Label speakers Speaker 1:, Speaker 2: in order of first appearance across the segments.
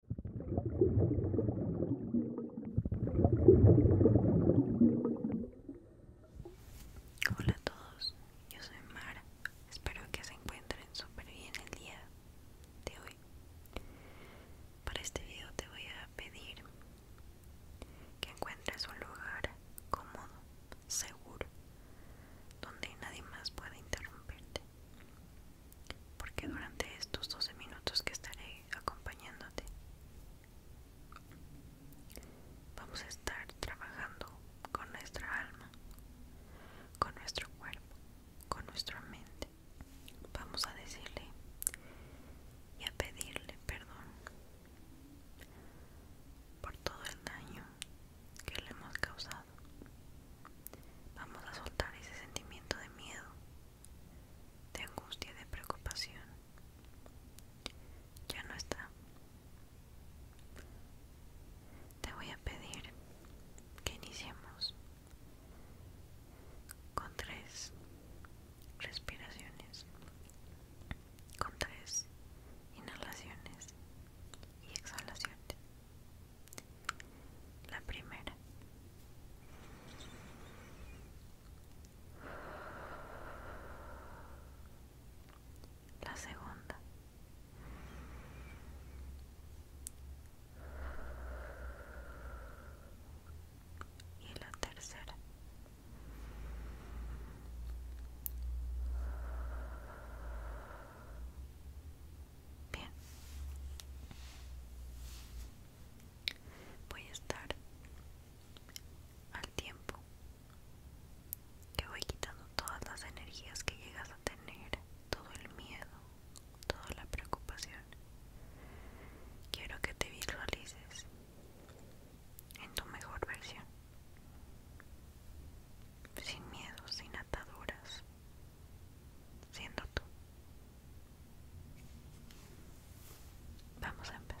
Speaker 1: Hola a todos, yo soy Mara, espero que se encuentren súper bien el día de hoy. Para este video te voy a pedir que encuentres un lugar cómodo, seguro, donde nadie más pueda interrumpirte porque durante estos 12 minutos que estaré acompañándote vamos a estar trabajando con nuestra alma, con nuestro cuerpo, con nuestra mente. Vamos a decirle y a pedirle perdón por todo el daño que le hemos causado Vamos a soltar ese sentimiento de miedo, de angustia, de preocupación. Ya no está. Te voy a pedir que iniciemos con tres respiraciones, con tres inhalaciones y exhalaciones. La primera. La segunda. Y la tercera. Bien. Voy a estar al tiempo que voy quitando todas las energías que llegas a tener, todo el miedo, toda la preocupación. Quiero que te visualices en tu mejor versión, sin miedo, sin ataduras, siendo tú. Vamos a empezar.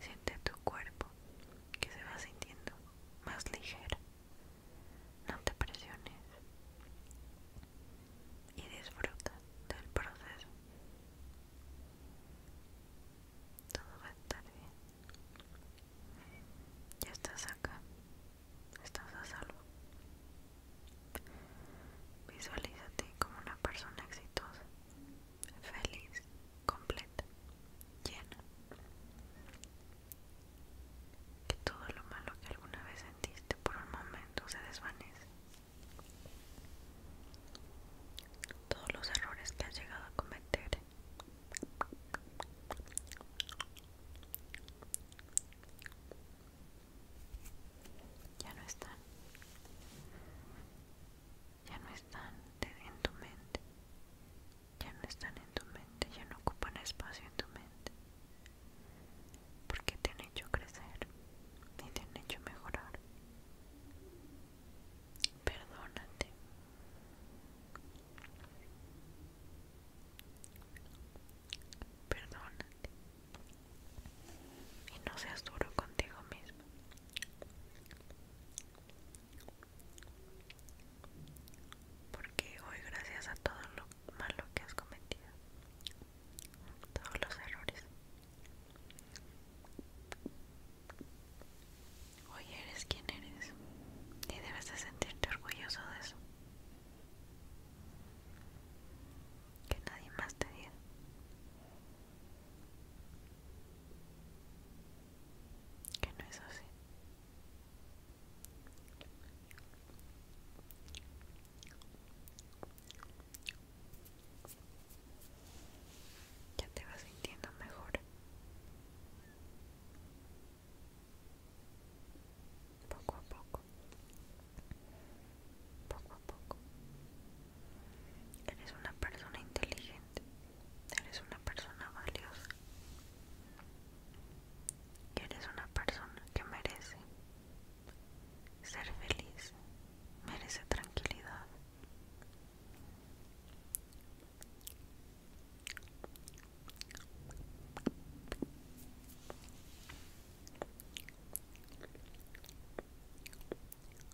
Speaker 1: Siente tu cuerpo que se va sintiendo más ligero. No te presiones y disfruta del proceso. Todo va a estar bien. Ya estás acá. Estás a salvo. Visualízate como una persona exitosa feliz, completa, llena. Que todo lo malo que alguna vez sentiste por un momento se desvanece. Todos los errores que has llegado a cometer ya no están ya no están en tu mente, ya no están en tu mente, ya no ocupan espacio en tu mente, porque te han hecho crecer y te han hecho mejorar. Perdónate. Perdónate. Y no seas duro contigo mismo. Porque hoy gracias a todo lo malo que has cometido, todos los errores, hoy eres quien eres y debes de sentirte orgulloso de eso. Que nadie más te diga que no es así ya te vas sintiendo mejor poco a poco poco a poco. Eres una persona inteligente, eres una persona valiosa, eres una persona que merece ser feliz, merece tranquilidad.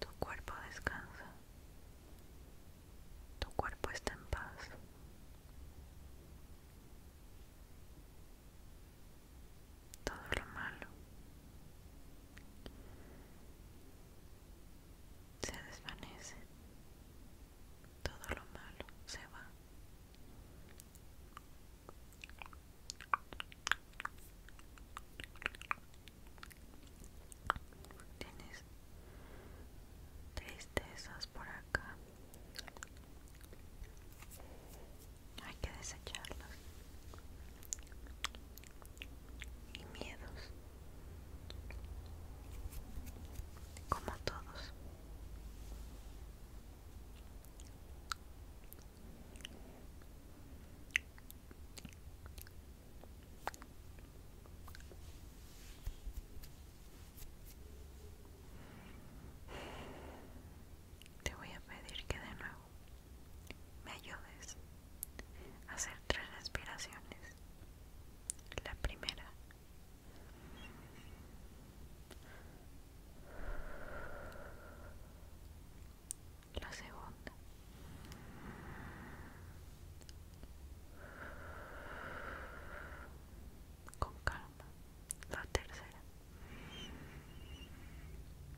Speaker 1: Tu cuerpo descansa. Tu cuerpo está en paz. Todo lo malo se desvanece, todo lo malo se va. Tienes tristezas por acá. Hay que desecharlas y miedos, como todos. Te voy a pedir que de nuevo me ayudes hacer tres respiraciones. La primera. La segunda. Con calma. La tercera.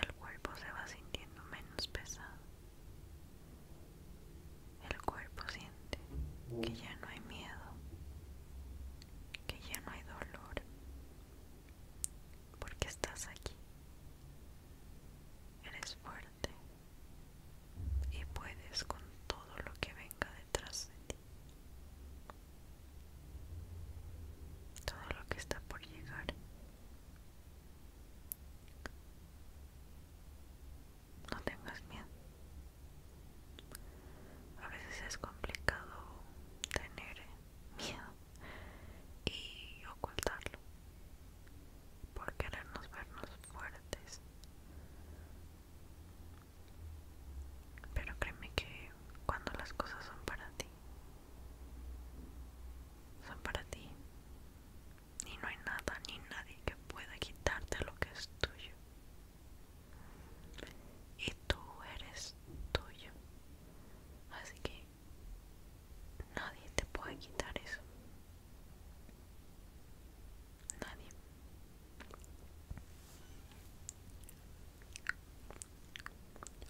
Speaker 1: El cuerpo se va sintiendo menos pesado. El cuerpo siente que ya no hay miedo, que ya no hay dolor, porque estás aquí. Eres fuerte y puedes con todo lo que venga detrás de ti todo lo que está por llegar no tengas miedo a veces es complicado tener miedo y ocultarlo por querernos vernos fuertes pero créeme que cuando las cosas son para ti, son para ti. Y no hay nada ni nadie que pueda quitarte lo que es tuyo. Y tú eres tuyo. Así que nadie te puede quitar eso nadie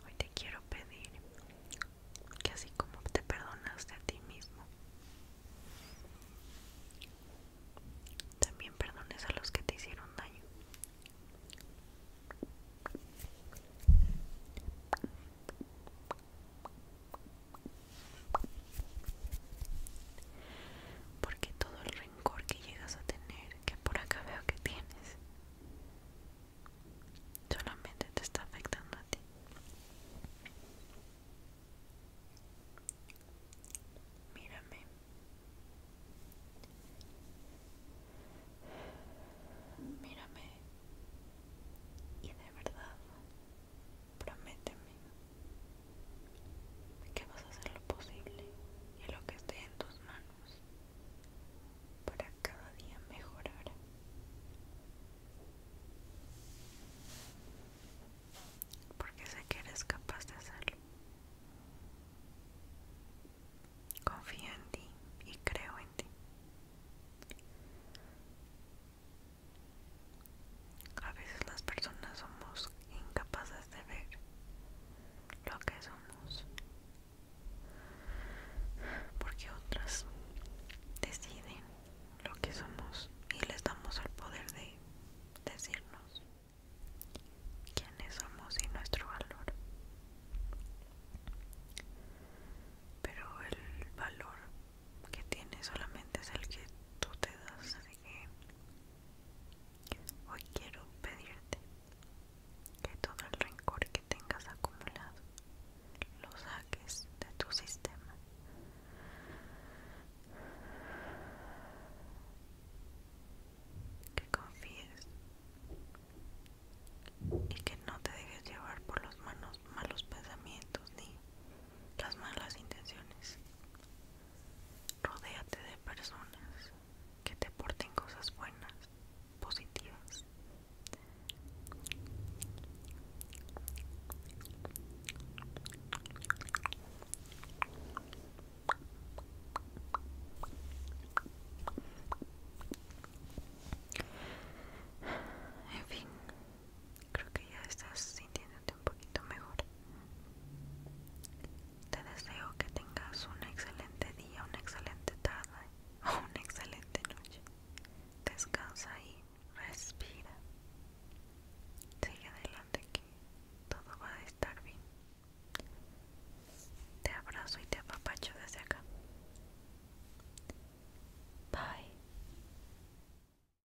Speaker 1: hoy te quiero pedir que así como te perdonaste a ti mismo también perdones a los que te hicieron daño porque todo el rencor que llegas a tener, que por acá veo que tienes, solamente te está afectando a ti. Mírame. Mírame. Y de verdad, prométeme que vas a hacer lo posible y lo que esté en tus manos para cada día mejorar. Porque sé que eres capaz de hacerlo. Confía en ti y creo en ti. A veces las personas somos incapaces de ver lo que somos porque otras deciden lo que somos y les damos el poder de decirnos quiénes somos y nuestro valor. Pero el valor que tiene solamente es el que tú te das, que Hoy quiero pedirte que todo el rencor que tengas acumulado lo saques de tu sistema. Que confíes y que no te dejes llevar por los malos, malos pensamientos ni las malas intenciones. Rodéate de personas que te porten cosas buenas, positivas. En fin, creo que ya estás sintiendo un poquito mejor. Te deseo que tengas un excelente día, una excelente tarde o una excelente noche. Descansa y respira. Sigue adelante que todo va a estar bien. Te abrazo y te apapacho desde acá. Bye.